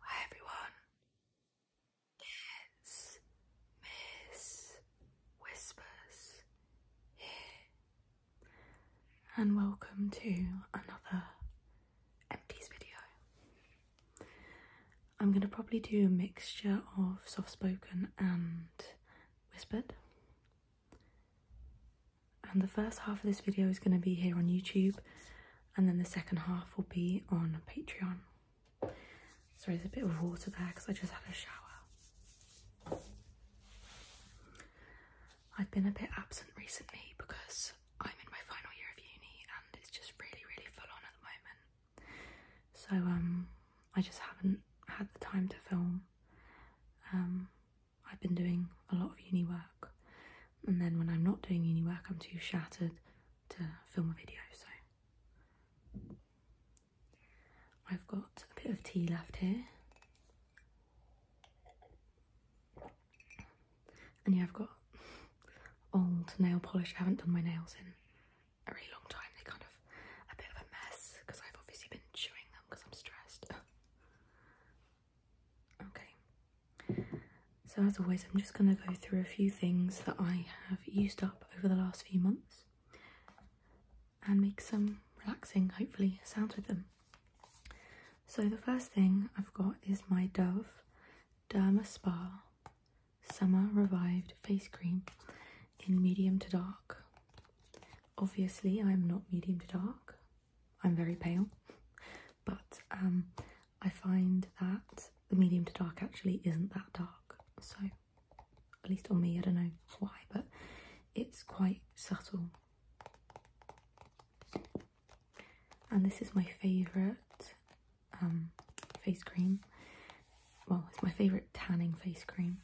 Hi everyone, it's Miss Whispers here, and welcome to another empties video. I'm going to probably do a mixture of soft spoken and whispered and the first half of this video is going to be here on YouTube and then the second half will be on Patreon. Sorry, there's a bit of water there because I just had a shower. I've been a bit absent recently because I'm in my final year of uni and it's just really, really full on at the moment. So um, I just haven't had the time to film. Um, I've been doing a lot of uni work, and then when I'm not doing uni work, I'm too shattered to film a video. So I've got a bit of tea left here, and yeah, I've got old nail polish. I haven't done my nails in a really long time. They're kind of a bit of a mess because I've obviously been chewing them because I'm stressed. Okay, so as always, I'm just going to go through a few things that I have used up over the last few months and make some relaxing, hopefully, sounds with them. So the first thing I've got is my Dove Derma Spa Summer Revived Face Cream in medium to dark. Obviously, I'm not medium to dark, I'm very pale, but um, I find that the medium to dark actually isn't that dark. So, at least on me, I don't know why, but it's quite subtle. And this is my favourite um, face cream. Well, it's my favourite tanning face cream.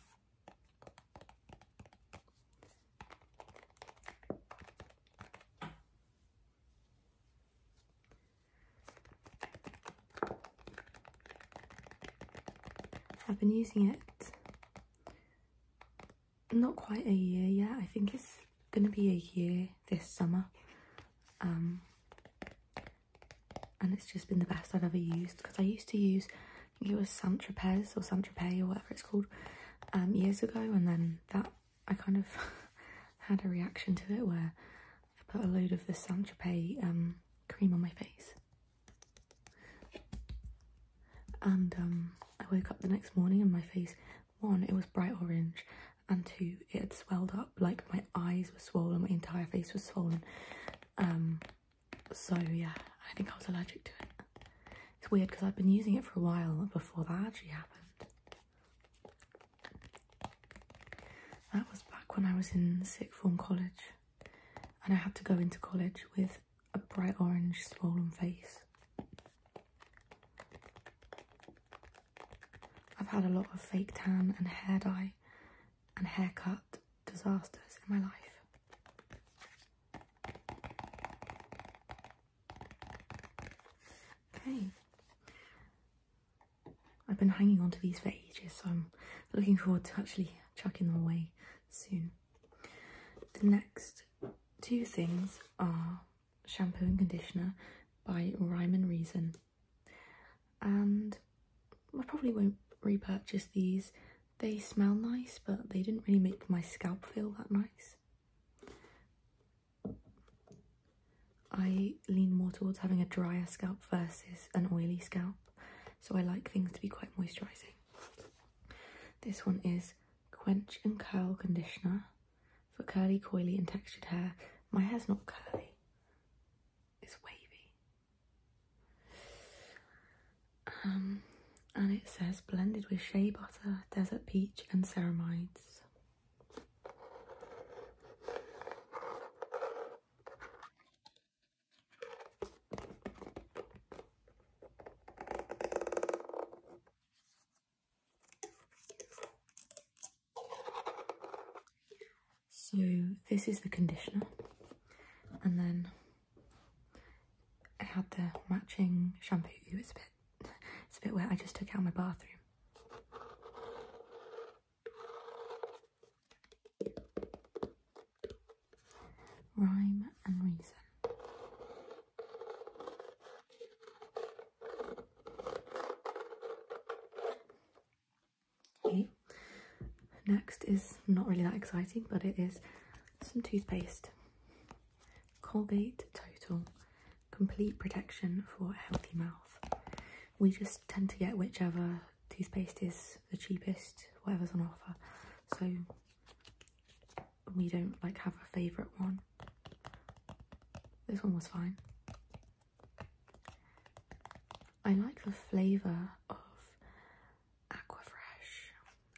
I've been using it not quite a year yet. I think it's going to be a year this summer. Um, and it's just been the best I've ever used because I used to use it was San Tropez or San Tropez or whatever it's called um, years ago, and then that I kind of had a reaction to it where I put a load of the San Tropez um, cream on my face, and um, I woke up the next morning and my face one it was bright orange, and two it had swelled up like my eyes were swollen, my entire face was swollen. Um, so yeah, I think I was allergic to it. It's weird because I've been using it for a while before that actually happened. That was back when I was in sixth form college and I had to go into college with a bright orange swollen face. I've had a lot of fake tan and hair dye and haircut disasters in my life. Okay. I've been hanging on to these for ages, so I'm looking forward to actually chucking them away soon. The next two things are shampoo and conditioner by Rhyme and Reason and I probably won't repurchase these. They smell nice, but they didn't really make my scalp feel that nice. I lean more towards having a drier scalp versus an oily scalp, so I like things to be quite moisturising. This one is Quench and Curl Conditioner for curly, coily and textured hair. My hair's not curly, it's wavy. Um, and it says blended with shea butter, desert peach, and ceramides. So this is the conditioner and then I had the matching shampoo. It's a bit it's a bit wet. I just took out my bathroom. Rhyme and reason. Okay, next is not really that exciting, but it is some toothpaste. Colgate Total Complete Protection for a Healthy Mouth. We just tend to get whichever toothpaste is the cheapest, whatever's on offer. So we don't like have a favourite one. This one was fine. I like the flavour of Aquafresh.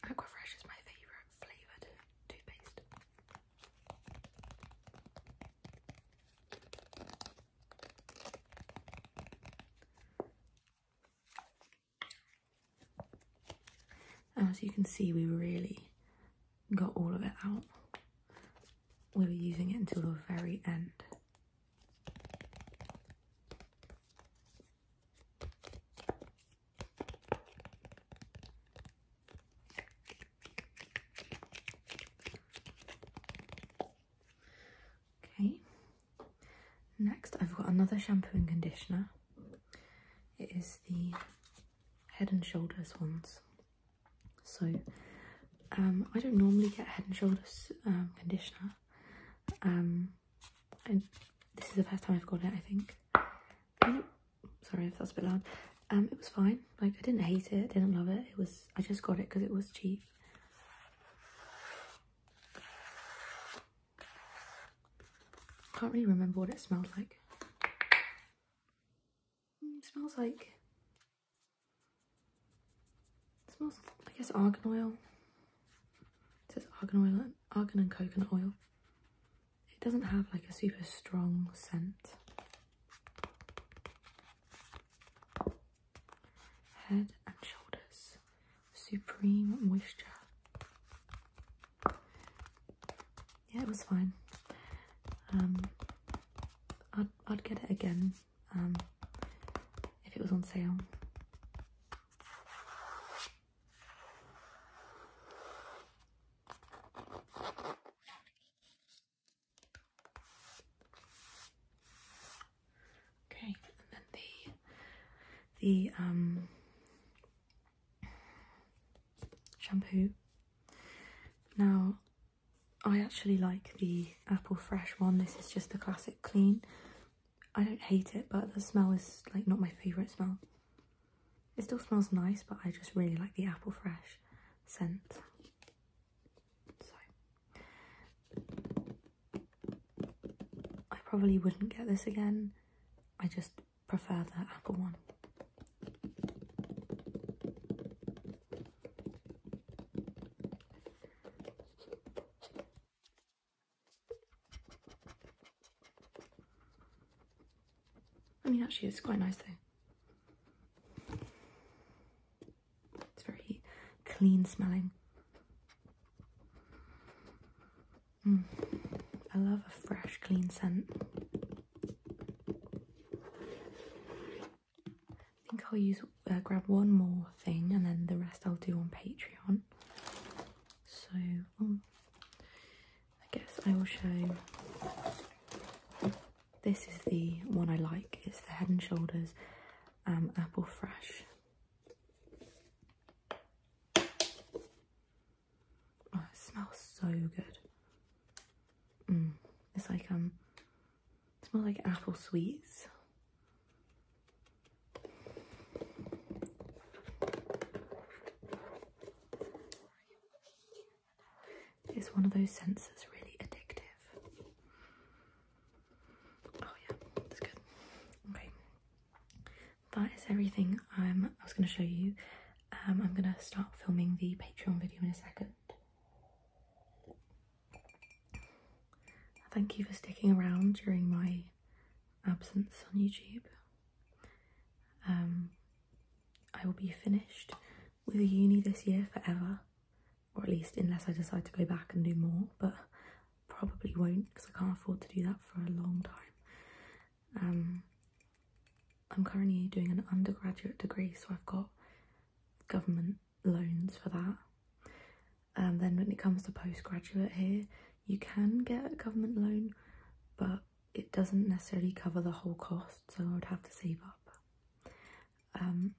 Aquafresh is my favourite flavoured toothpaste. And As you can see, we really got all of it out we will be using it until the very end. Okay, next I've got another shampoo and conditioner. It is the Head and Shoulders ones. So um, I don't normally get Head and Shoulders um, conditioner. Um, and this is the first time I've got it, I think. Oh, sorry if that's a bit loud. Um, it was fine. Like I didn't hate it, didn't love it. It was I just got it because it was cheap. Can't really remember what it smelled like. Mm, smells like. smells, I guess, argan oil. It says argan oil, and argan and coconut oil. It doesn't have like a super strong scent. Head and Shoulders Supreme Moisture yeah, it was fine. Um, I'd I'd get it again um, if it was on sale. Okay, and then the the um shampoo. Now, I actually like the apple fresh one. This is just the classic clean. I don't hate it, but the smell is like not my favourite smell. It still smells nice, but I just really like the apple fresh scent. So, I probably wouldn't get this again. I just prefer the apple one. I mean, actually, it's quite nice though. It's very clean smelling. Mm. I love a fresh, clean scent. I think I'll use uh, grab one more thing and then the rest I'll do on Patreon. So um, I guess I will show. This is the one I like. It's the Head and Shoulders um, Apple Fresh. Oh, it smells so good. Mm. It's like, um, it smells like apple sweets. It's one of those senses really addictive. Oh yeah, that's good. Okay, that is everything um, I was going to show you. Um, I'm going to start filming the Patreon video in a second. Thank you for sticking around during my absence on YouTube. Um, I will be finished with uni this year forever, or at least unless I decide to go back and do more, but probably won't because I can't afford to do that for a long time. Um, I'm currently doing an undergraduate degree, so I've got government loans for that. And then when it comes to postgraduate here, you can get a government loan, but it doesn't necessarily cover the whole cost, so I would have to save up. Um,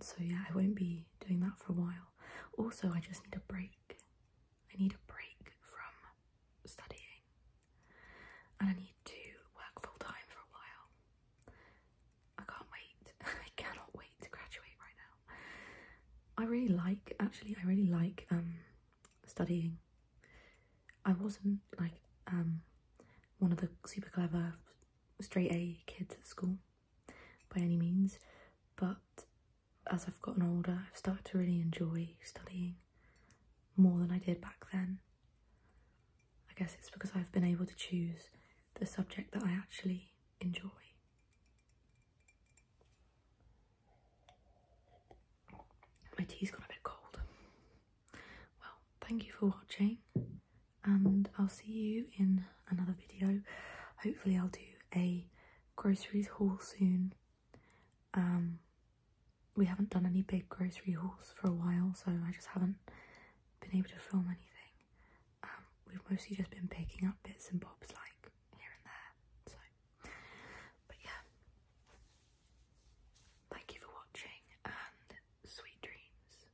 so yeah, I won't be doing that for a while. Also, I just need a break. I need a break from studying and I need to work full time for a while. I can't wait. I cannot wait to graduate right now. I really like actually I really like um, studying. I wasn't like um, one of the super clever straight A kids at school by any means, but as I've gotten older, I've started to really enjoy studying more than I did back then. I guess it's because I've been able to choose the subject that I actually enjoy. My tea's got a bit cold. Well, thank you for watching and I'll see you in another video. Hopefully I'll do a groceries haul soon. Um, we haven't done any big grocery hauls for a while, so I just haven't been able to film anything. Um, we've mostly just been picking up bits and bobs like here and there. So, but yeah, thank you for watching and sweet dreams.